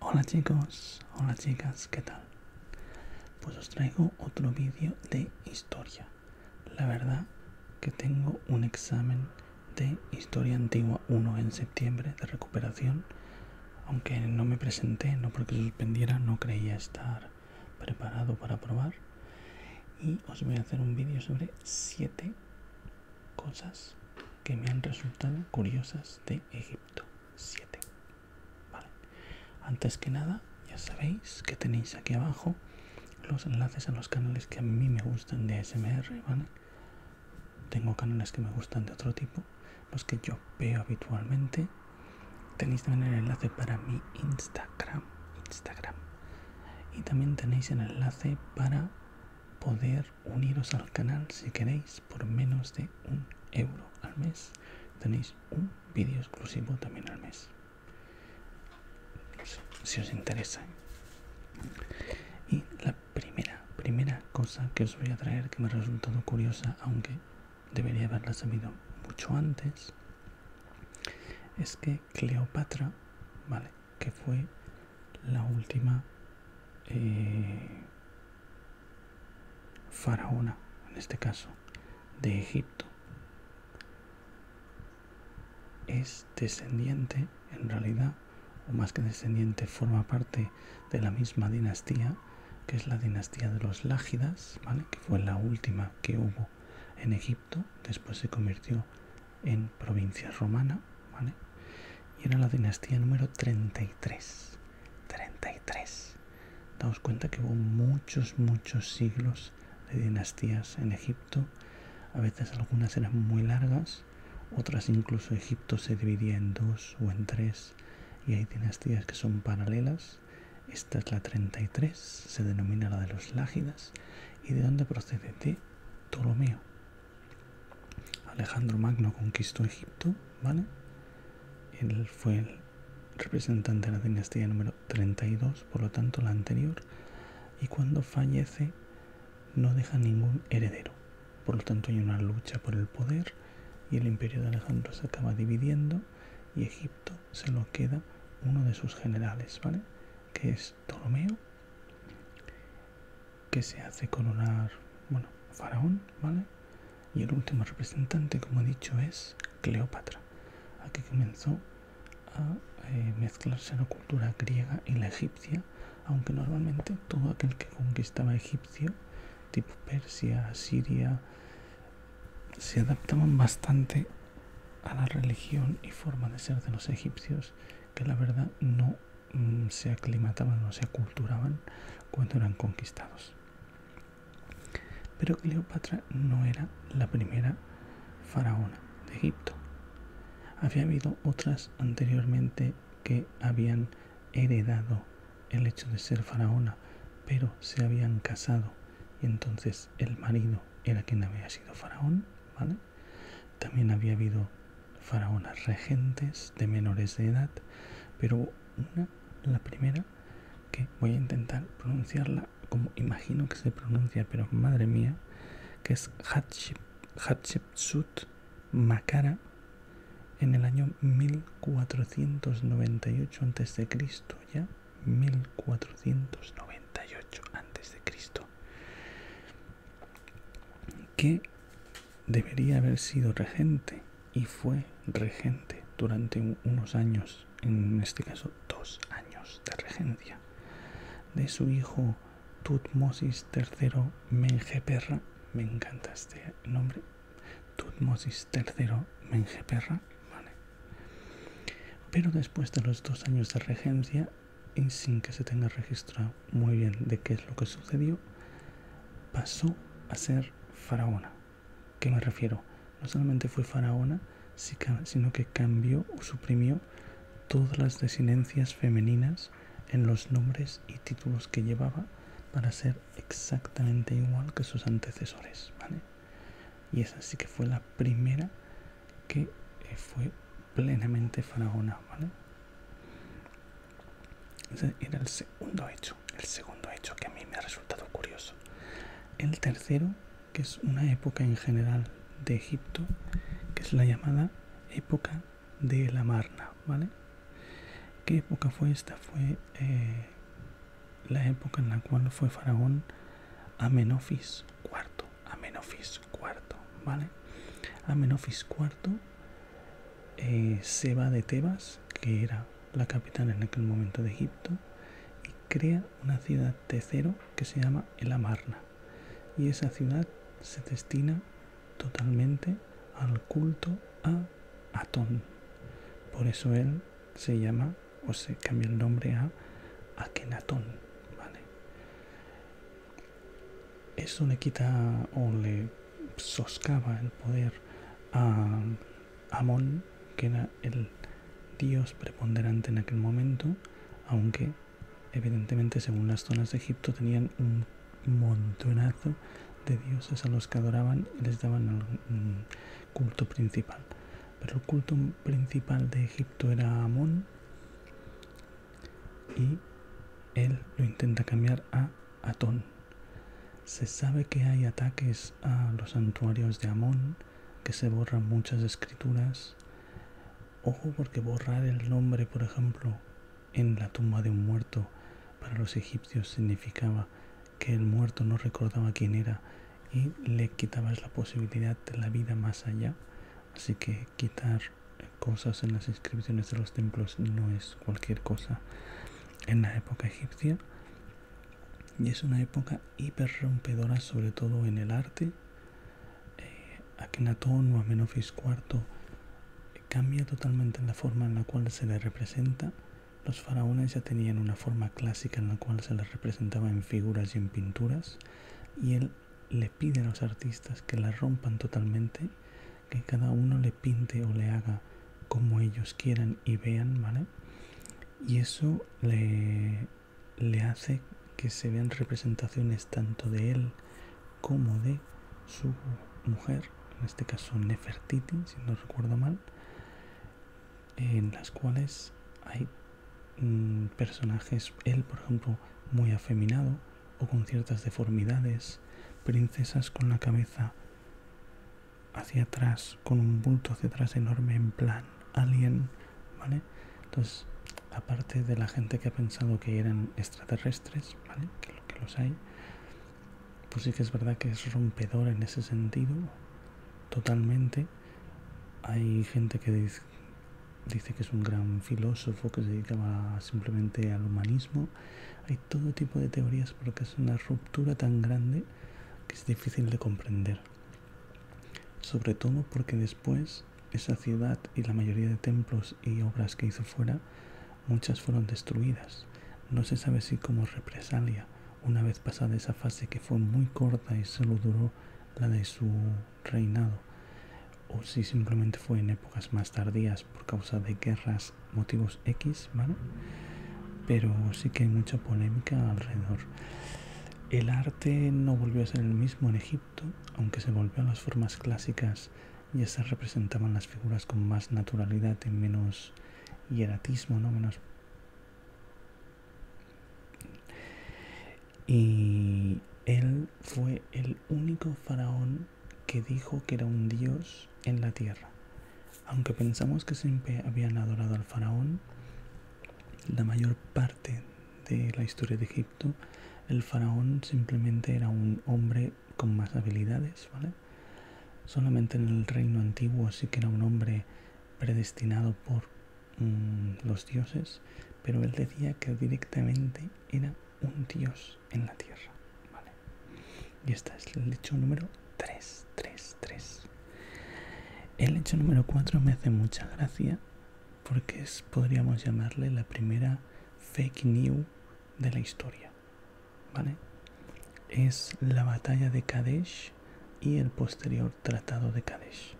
Hola chicos, hola chicas, ¿qué tal? Pues os traigo otro vídeo de historia. La verdad que tengo un examen de Historia Antigua 1 en septiembre de recuperación, aunque no me presenté, no porque suspendiera, no creía estar preparado para probar. Y os voy a hacer un vídeo sobre 7 cosas que me han resultado curiosas de Egipto. 7. Vale. Antes que nada, ya sabéis que tenéis aquí abajo los enlaces a los canales que a mí me gustan de ASMR, ¿vale? Tengo canales que me gustan de otro tipo, los que yo veo habitualmente. Tenéis también el enlace para mi Instagram, Instagram. Y también tenéis el enlace para poder uniros al canal si queréis por menos de un euro al mes tenéis un vídeo exclusivo también al mes si os interesa y la primera primera cosa que os voy a traer que me ha resultado curiosa aunque debería haberla sabido mucho antes es que Cleopatra vale que fue la última eh, faraona, en este caso, de Egipto. Es descendiente, en realidad, o más que descendiente, forma parte de la misma dinastía, que es la dinastía de los Lágidas, ¿vale? que fue la última que hubo en Egipto, después se convirtió en provincia romana y era la dinastía número 33. 33. Damos cuenta que hubo muchos, muchos siglos de dinastías en Egipto. A veces algunas eran muy largas, otras incluso Egipto se dividía en dos o en tres y hay dinastías que son paralelas. Esta es la 33, se denomina la de los Lágidas y de dónde procede de Ptolomeo. Alejandro Magno conquistó Egipto, ¿vale? Él fue el representante de la dinastía número 32, por lo tanto la anterior, y cuando fallece no deja ningún heredero. Por lo tanto hay una lucha por el poder y el imperio de Alejandro se acaba dividiendo y Egipto se lo queda uno de sus generales, ¿vale? Que es Ptolomeo que se hace coronar, bueno, faraón, ¿vale? Y el último representante, como he dicho, es Cleopatra. Aquí comenzó a eh, mezclarse la cultura griega y la egipcia, aunque normalmente todo aquel que conquistaba egipcio, tipo Persia, Siria, se adaptaban bastante a la religión y forma de ser de los egipcios, que la verdad no Mm, se aclimataban o se aculturaban cuando eran conquistados. Pero Cleopatra no era la primera faraona de Egipto. Había habido otras anteriormente que habían heredado el hecho de ser faraona, pero se habían casado y entonces el marido era quien había sido faraón, ¿vale? También había habido faraonas regentes de menores de edad, pero una, la primera, que voy a intentar pronunciarla como imagino que se pronuncia, pero madre mía, que es Hatshepsut Makara en el año 1498 a.C., ya 1498 a.C que debería haber sido regente y fue regente durante unos años, en este caso dos años de regencia, de su hijo Tutmosis III Mengeperra. Me encanta este nombre. Tutmosis III Mengeperra. Vale. Pero después de los dos años de regencia, y sin que se tenga registrado muy bien de qué es lo que sucedió, pasó a ser faraona. ¿Qué me refiero? No solamente fue faraona, sino que cambió o suprimió todas las desinencias femeninas en los nombres y títulos que llevaba para ser exactamente igual que sus antecesores. Y esa sí que fue la primera que eh, fue plenamente faraona. ¿vale? era el segundo hecho, el segundo hecho que a mí me ha resultado curioso. El tercero, que es una época en general de Egipto, que es la llamada época de la Marna, ¿vale? ¿Qué época fue esta? Fue eh, la época en la cual fue faraón Amenofis IV, Amenofis IV, ¿vale? Amenofis IV eh, se va de Tebas, que era la capital en aquel momento de Egipto, y crea una ciudad de cero que se llama El Amarna. Y esa ciudad se destina totalmente al culto a Atón. Por eso él se llama o se cambia el nombre a Akenatón. ¿vale? Eso le quita o le soscaba el poder a Amón, que era el dios preponderante en aquel momento, aunque evidentemente según las zonas de Egipto tenían un montonazo de dioses a los que adoraban y les daban el mm, culto principal. Pero el culto principal de Egipto era Amón y él lo intenta cambiar a Atón, se sabe que hay ataques a los santuarios de Amón, que se borran muchas escrituras. Ojo porque borrar el nombre, por ejemplo, en la tumba de un muerto para los egipcios significaba que el muerto no recordaba quién era y le quitabas la posibilidad de la vida más allá. Así que quitar cosas en las inscripciones de los templos no es cualquier cosa en la época egipcia y es una época hiper rompedora sobre todo en el arte eh, o Amenofis IV cambia totalmente la forma en la cual se le representa los faraones ya tenían una forma clásica en la cual se les representaba en figuras y en pinturas y él le pide a los artistas que la rompan totalmente que cada uno le pinte o le haga como ellos quieran y vean, ¿vale? Y eso le, hace que se vean representaciones tanto de él como de su mujer, en este caso Nefertiti, si no recuerdo mal, en las cuales hay mm, personajes, él por ejemplo, muy afeminado, o con ciertas deformidades, princesas con la cabeza hacia atrás, con un bulto hacia atrás enorme en plan alien, ¿vale? Entonces, aparte de la gente que ha pensado que eran extraterrestres, ¿vale? Que, los hay, pues sí que es verdad que es rompedor en ese sentido, totalmente. Hay gente que dice, que es un gran filósofo que se dedicaba simplemente al humanismo todo tipo de teorías porque es una ruptura tan grande que es difícil de comprender. Sobre todo porque después esa ciudad y la mayoría de templos y obras que hizo fuera, muchas fueron destruidas. No se sabe si como represalia, una vez pasada esa fase que fue muy corta y solo duró la de su reinado, o si simplemente fue en épocas más tardías por causa de guerras, motivos X, ¿vale? Pero sí que hay mucha polémica alrededor. El arte no volvió a ser el mismo en Egipto, aunque se volvió a las formas clásicas, ya se representaban las figuras con más naturalidad y menos hieratismo, ¿no? Menos y él fue el único faraón que dijo que era un dios en la tierra. Aunque pensamos que siempre habían adorado al faraón, la mayor parte de la historia de Egipto, el faraón simplemente era un hombre con más habilidades, ¿vale? Solamente en el reino antiguo sí que era un hombre predestinado por mm, los dioses, pero él decía que directamente era un dios en la tierra, y esta es el hecho número 3, El hecho número 4 me hace mucha gracia porque es, podríamos llamarle la primera fake news de la historia. ¿Vale? Es la batalla de Kadesh y el posterior tratado de Kadesh.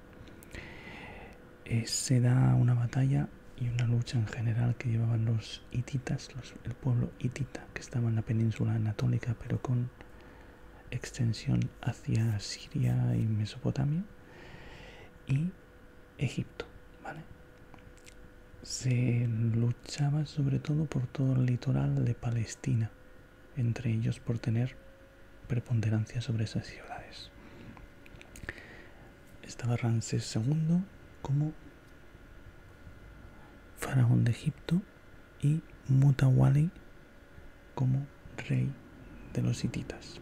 Eh, se da una batalla y una lucha en general que llevaban los hititas, el pueblo hitita que estaba en la península anatólica, pero con extensión hacia Siria y Mesopotamia y Egipto, Se luchaba sobre todo por todo el litoral de Palestina, entre ellos por tener preponderancia sobre esas ciudades. Estaba Ramsés II como faraón de Egipto, y Mutawali como rey de los hititas,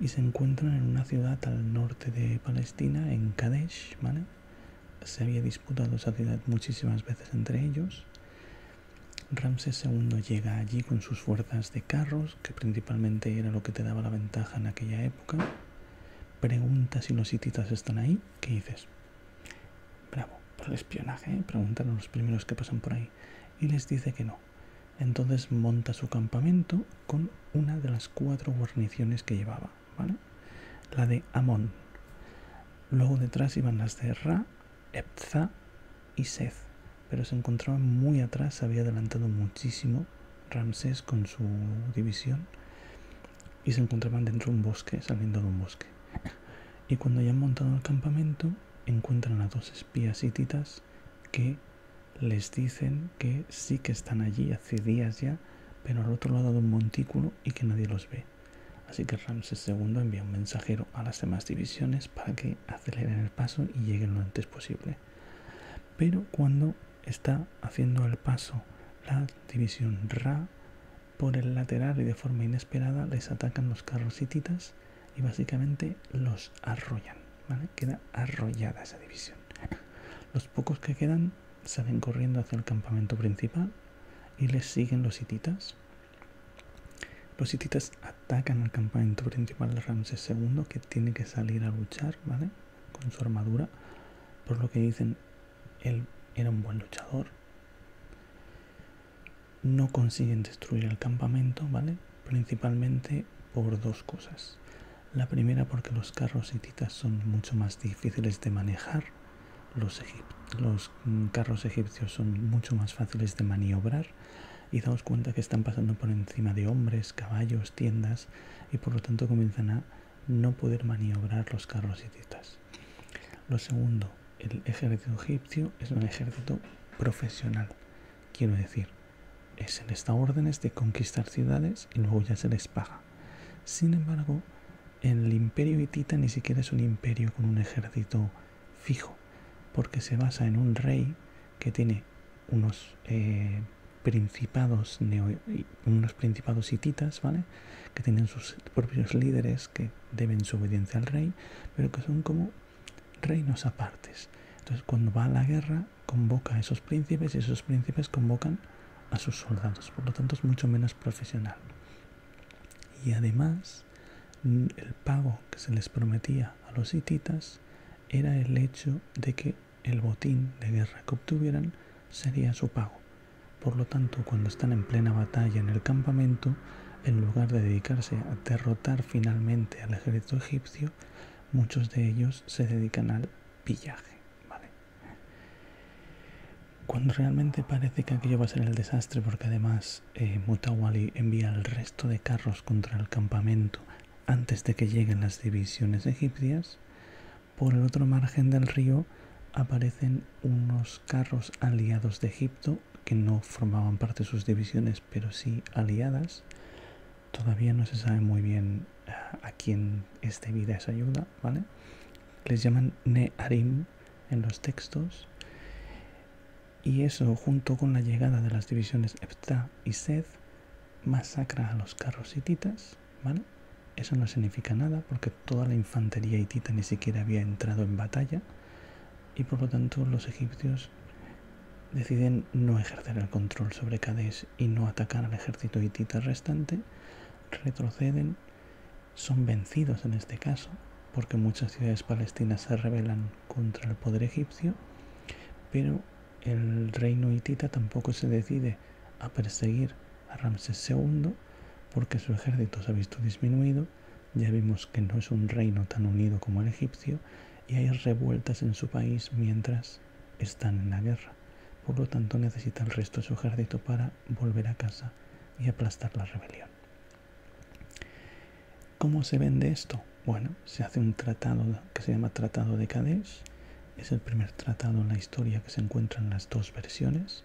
Y se encuentran en una ciudad al norte de Palestina, en Kadesh, Se había disputado esa ciudad muchísimas veces entre ellos. Ramsés II llega allí con sus fuerzas de carros, que principalmente era lo que te daba la ventaja en aquella época. Pregunta si los hititas están ahí ¿Qué dices? Bravo, por el espionaje, ¿eh? preguntaron los primeros que pasan por ahí. Y les dice que no. Entonces monta su campamento con una de las cuatro guarniciones que llevaba, La de Amón. Luego detrás iban las de Ra, Epza y Seth, pero se encontraban muy atrás, había adelantado muchísimo Ramsés con su división y se encontraban dentro de un bosque, saliendo de un bosque. Y cuando ya han montado el campamento, encuentran a dos espías hititas que les dicen que sí que están allí hace días ya, pero al otro lado de un montículo y que nadie los ve. Así que Ramses II envía un mensajero a las demás divisiones para que aceleren el paso y lleguen lo antes posible. Pero cuando está haciendo el paso. La división Ra por el lateral y de forma inesperada les atacan los carros hititas y básicamente los arrollan. ¿vale? Queda arrollada esa división. Los pocos que quedan salen corriendo hacia el campamento principal y les siguen los hititas. Los hititas atacan al campamento principal de Ramses segundo que tiene que salir a luchar, ¿vale? Con su armadura. Por lo que dicen, él era un buen luchador. No consiguen destruir el campamento, ¿vale? Principalmente por dos cosas. La primera porque los carros hititas son mucho más difíciles de manejar. Los, los mm, carros egipcios son mucho más fáciles de maniobrar y daos cuenta que están pasando por encima de hombres, caballos, tiendas y por lo tanto comienzan a no poder maniobrar los carros hititas. Lo segundo, el ejército egipcio es un ejército profesional, quiero decir, es les da órdenes de conquistar ciudades y luego ya se les paga. Sin embargo, el imperio hitita ni siquiera es un imperio con un ejército fijo, porque se basa en un rey que tiene unos eh, principados neo unos principados hititas, ¿vale? Que tienen sus propios líderes que deben su obediencia al rey, pero que son como reinos apartes. Entonces, cuando va a la guerra, convoca a esos príncipes y esos príncipes convocan a sus soldados. Por lo tanto, es mucho menos profesional. Y además, mm, el pago que se les prometía a los hititas era el hecho de que el botín de guerra que obtuvieran sería su pago. Por lo tanto, cuando están en plena batalla en el campamento, en lugar de dedicarse a derrotar finalmente al ejército egipcio, muchos de ellos se dedican al pillaje. Cuando realmente parece que aquello va a ser el desastre, porque además eh, Mutawali envía el resto de carros contra el campamento antes de que lleguen las divisiones egipcias, por el otro margen del río aparecen unos carros aliados de Egipto que no formaban parte de sus divisiones, pero sí aliadas. Todavía no se sabe muy bien eh, a quién es debida esa ayuda, ¿vale? Les llaman Neharim en los textos. Y eso, junto con la llegada de las divisiones Eptah y Seth, masacra a los carros hititas ¿vale? Eso no significa nada porque toda la infantería hitita ni siquiera había entrado en batalla y por lo tanto los egipcios deciden no ejercer el control sobre Cádiz y no atacar al ejército hitita restante, retroceden, son vencidos en este caso, porque muchas ciudades palestinas se rebelan contra el poder egipcio, pero el reino hitita tampoco se decide a perseguir a Ramsés II porque su ejército se ha visto disminuido, ya vimos que no es un reino tan unido como el egipcio y hay revueltas en su país mientras están en la guerra. Por lo tanto necesita el resto de su ejército para volver a casa y aplastar la rebelión. ¿Cómo se vende esto? Bueno, se hace un tratado que se llama Tratado de Cádiz Es el primer tratado en la historia que se encuentra en las dos versiones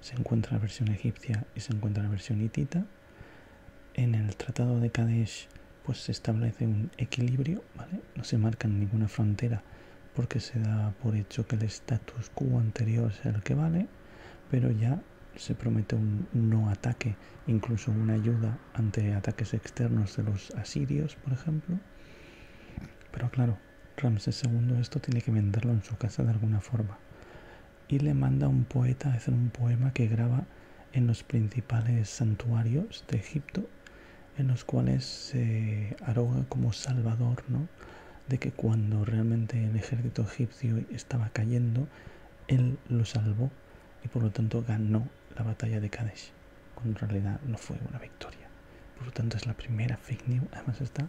se encuentra la versión egipcia y se encuentra la versión hitita. En el Tratado de Kadesh pues se establece un equilibrio, ¿vale? No se marca ninguna frontera porque se da por hecho que el status quo anterior es el que vale, pero ya se promete un no ataque, incluso una ayuda ante ataques externos de los asirios, por ejemplo. Pero claro, Ramsés II esto tiene que venderlo en su casa de alguna forma y le manda a un poeta a hacer un poema que graba en los principales santuarios de Egipto en los cuales se arroga como salvador de que cuando realmente el ejército egipcio estaba cayendo, él lo salvó y por lo tanto ganó la batalla de Kadesh, cuando en realidad no fue una victoria. Por lo tanto, es la primera fake news. Además, está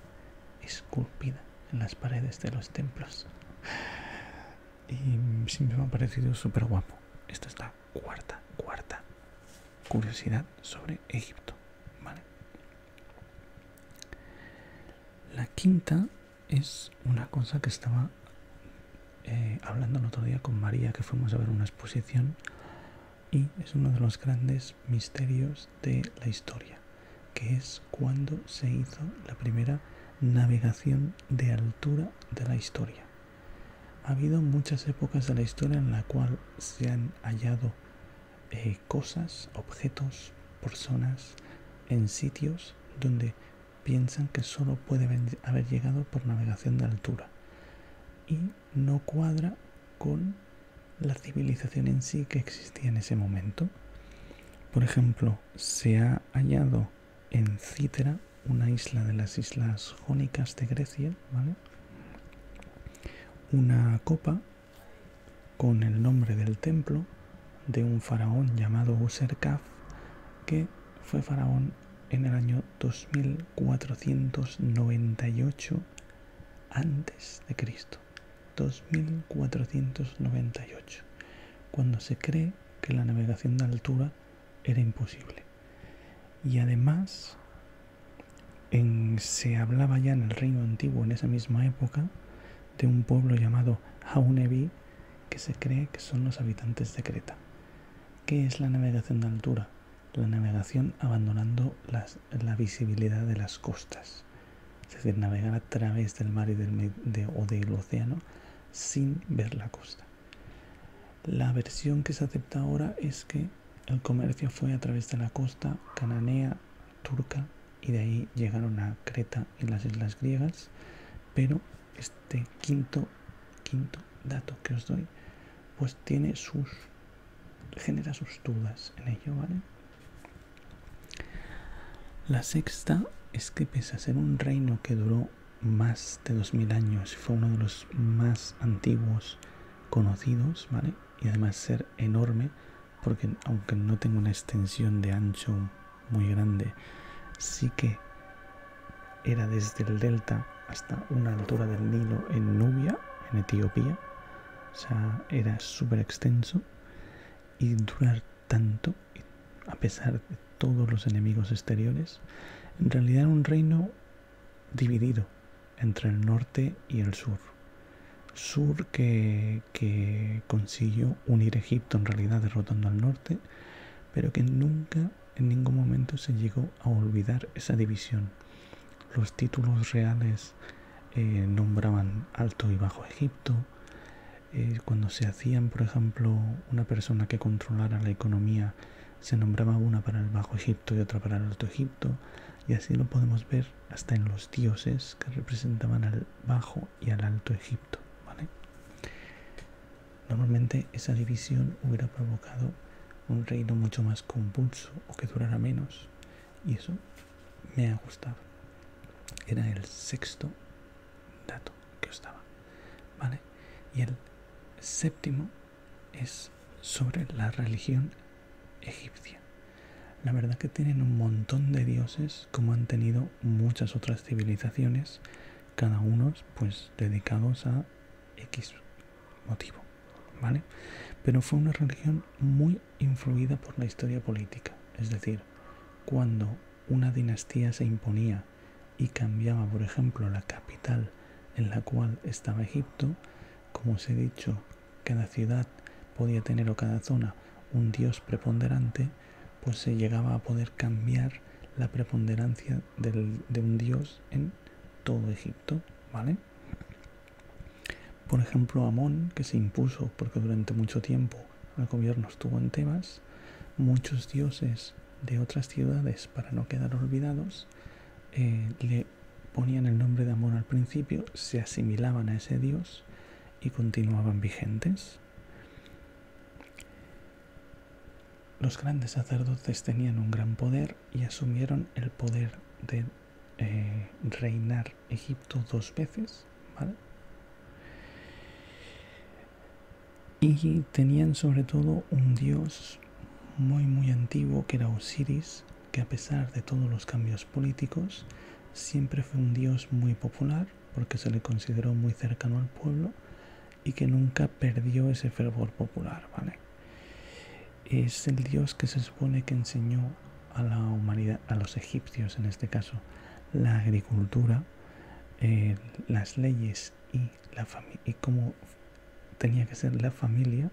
esculpida en las paredes de los templos. Y siempre me ha parecido súper guapo. Esta es la cuarta, cuarta curiosidad sobre Egipto. La quinta es una cosa que estaba eh, hablando el otro día con María, que fuimos a ver una exposición y es uno de los grandes misterios de la historia, que es cuando se hizo la primera navegación de altura de la historia. Ha habido muchas épocas de la historia en la cual se han hallado eh, cosas, objetos, personas en sitios donde piensan que solo puede haber llegado por navegación de altura. Y no cuadra con la civilización en sí que existía en ese momento. Por ejemplo, se ha hallado en Cítera, una isla de las islas jónicas de Grecia, una copa con el nombre del templo de un faraón llamado Userkaf, que fue faraón en el año 2498 antes de Cristo. 2498, cuando se cree que la navegación de altura era imposible. Y además, se hablaba ya en el Reino Antiguo, en esa misma época, de un pueblo llamado Haunebi que se cree que son los habitantes de Creta. ¿Qué es la navegación de altura? La navegación abandonando la visibilidad de las costas. Es decir, navegar a través del mar o del océano sin ver la costa. La versión que se acepta ahora es que el comercio fue a través de la costa cananea, turca, y de ahí llegaron a Creta y las islas griegas, pero este quinto, quinto dato que os doy, pues tiene sus genera sus dudas en ello, ¿vale? La sexta es que pese a ser un reino que duró más de 2000 años y fue uno de los más antiguos conocidos, ¿vale? Y además ser enorme, porque aunque no tenga una extensión de ancho muy grande, sí que era desde el delta hasta una altura del Nilo en Nubia, en Etiopía, era súper extenso y durar tanto, a pesar de todos los enemigos exteriores, en realidad un reino dividido entre el norte y el sur. Sur que, que consiguió unir Egipto en realidad derrotando al norte, pero que nunca en ningún momento se llegó a olvidar esa división. Los títulos reales eh, nombraban Alto y Bajo Egipto. Eh, cuando se hacían, por ejemplo, una persona que controlara la economía, se nombraba una para el Bajo Egipto y otra para el Alto Egipto. Y así lo podemos ver hasta en los dioses que representaban al Bajo y al Alto Egipto. Normalmente esa división hubiera provocado un reino mucho más compulso o que durara menos. Y eso me ha gustado era el sexto dato que estaba, vale y el séptimo es sobre la religión egipcia la verdad que tienen un montón de dioses como han tenido muchas otras civilizaciones cada uno pues dedicados a x motivo ¿vale? Pero fue una religión muy influida por la historia política, es decir, cuando una dinastía se imponía y cambiaba, por ejemplo, la capital en la cual estaba Egipto, como os he dicho, cada ciudad podía tener o cada zona un dios preponderante, pues se llegaba a poder cambiar la preponderancia de un dios en todo Egipto, ¿vale? Por ejemplo, Amón, que se impuso porque durante mucho tiempo el gobierno estuvo en temas, muchos dioses de otras ciudades, para no quedar olvidados, eh, le ponían el nombre de Amón al principio, se asimilaban a ese dios y continuaban vigentes. Los grandes sacerdotes tenían un gran poder y asumieron el poder de eh, reinar Egipto dos veces, Y tenían sobre todo un dios muy muy antiguo que era Osiris, que a pesar de todos los cambios políticos, siempre fue un dios muy popular porque se le consideró muy cercano al pueblo y que nunca perdió ese fervor popular, ¿vale? es el Dios que se supone que enseñó a la humanidad, a los egipcios en este caso, la agricultura, eh, las leyes y, la y cómo tenía que ser la familia.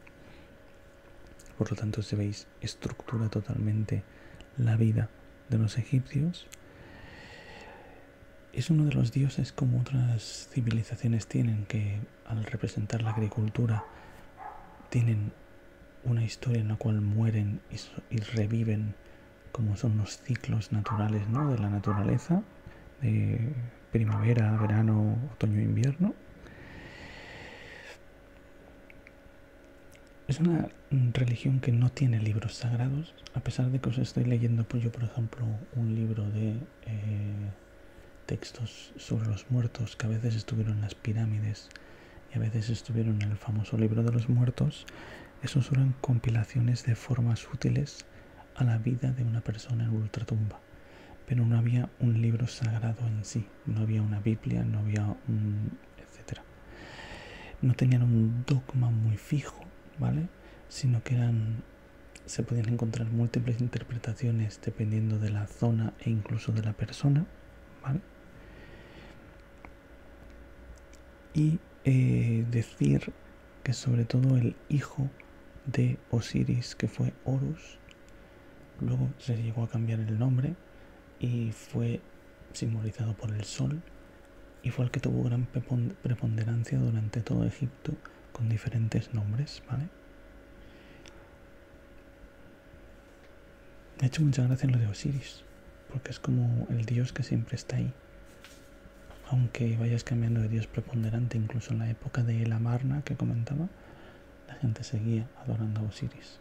Por lo tanto, se veis, estructura totalmente la vida de los egipcios. Es uno de los dioses como otras civilizaciones tienen, que al representar la agricultura tienen una historia en la cual mueren y, reviven, como son los ciclos naturales ¿no? de la naturaleza, de primavera, verano, otoño, invierno. Es una religión que no tiene libros sagrados, a pesar de que os estoy leyendo pues yo, por ejemplo, un libro de eh, textos sobre los muertos que a veces estuvieron en las pirámides y a veces estuvieron en el famoso libro de los muertos, esos eran compilaciones de formas útiles a la vida de una persona en ultratumba. Pero no había un libro sagrado en sí, no había una Biblia, no había un. etcétera. No tenían un dogma muy fijo, ¿vale? Sino que eran. se podían encontrar múltiples interpretaciones dependiendo de la zona e incluso de la persona, ¿vale? Y eh, decir que sobre todo el hijo de Osiris, que fue Horus, luego se llegó a cambiar el nombre y fue simbolizado por el sol y fue el que tuvo gran preponderancia durante todo Egipto con diferentes nombres, de hecho mucha gracia lo de Osiris, porque es como el dios que siempre está ahí. Aunque vayas cambiando de dios preponderante, incluso en la época de la Marna que comentaba, la gente seguía adorando a Osiris.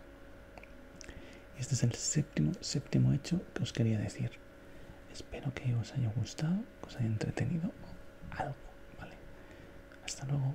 este es el séptimo, séptimo hecho que os quería decir. Espero que os haya gustado, que os haya entretenido algo, ¿vale? Hasta luego.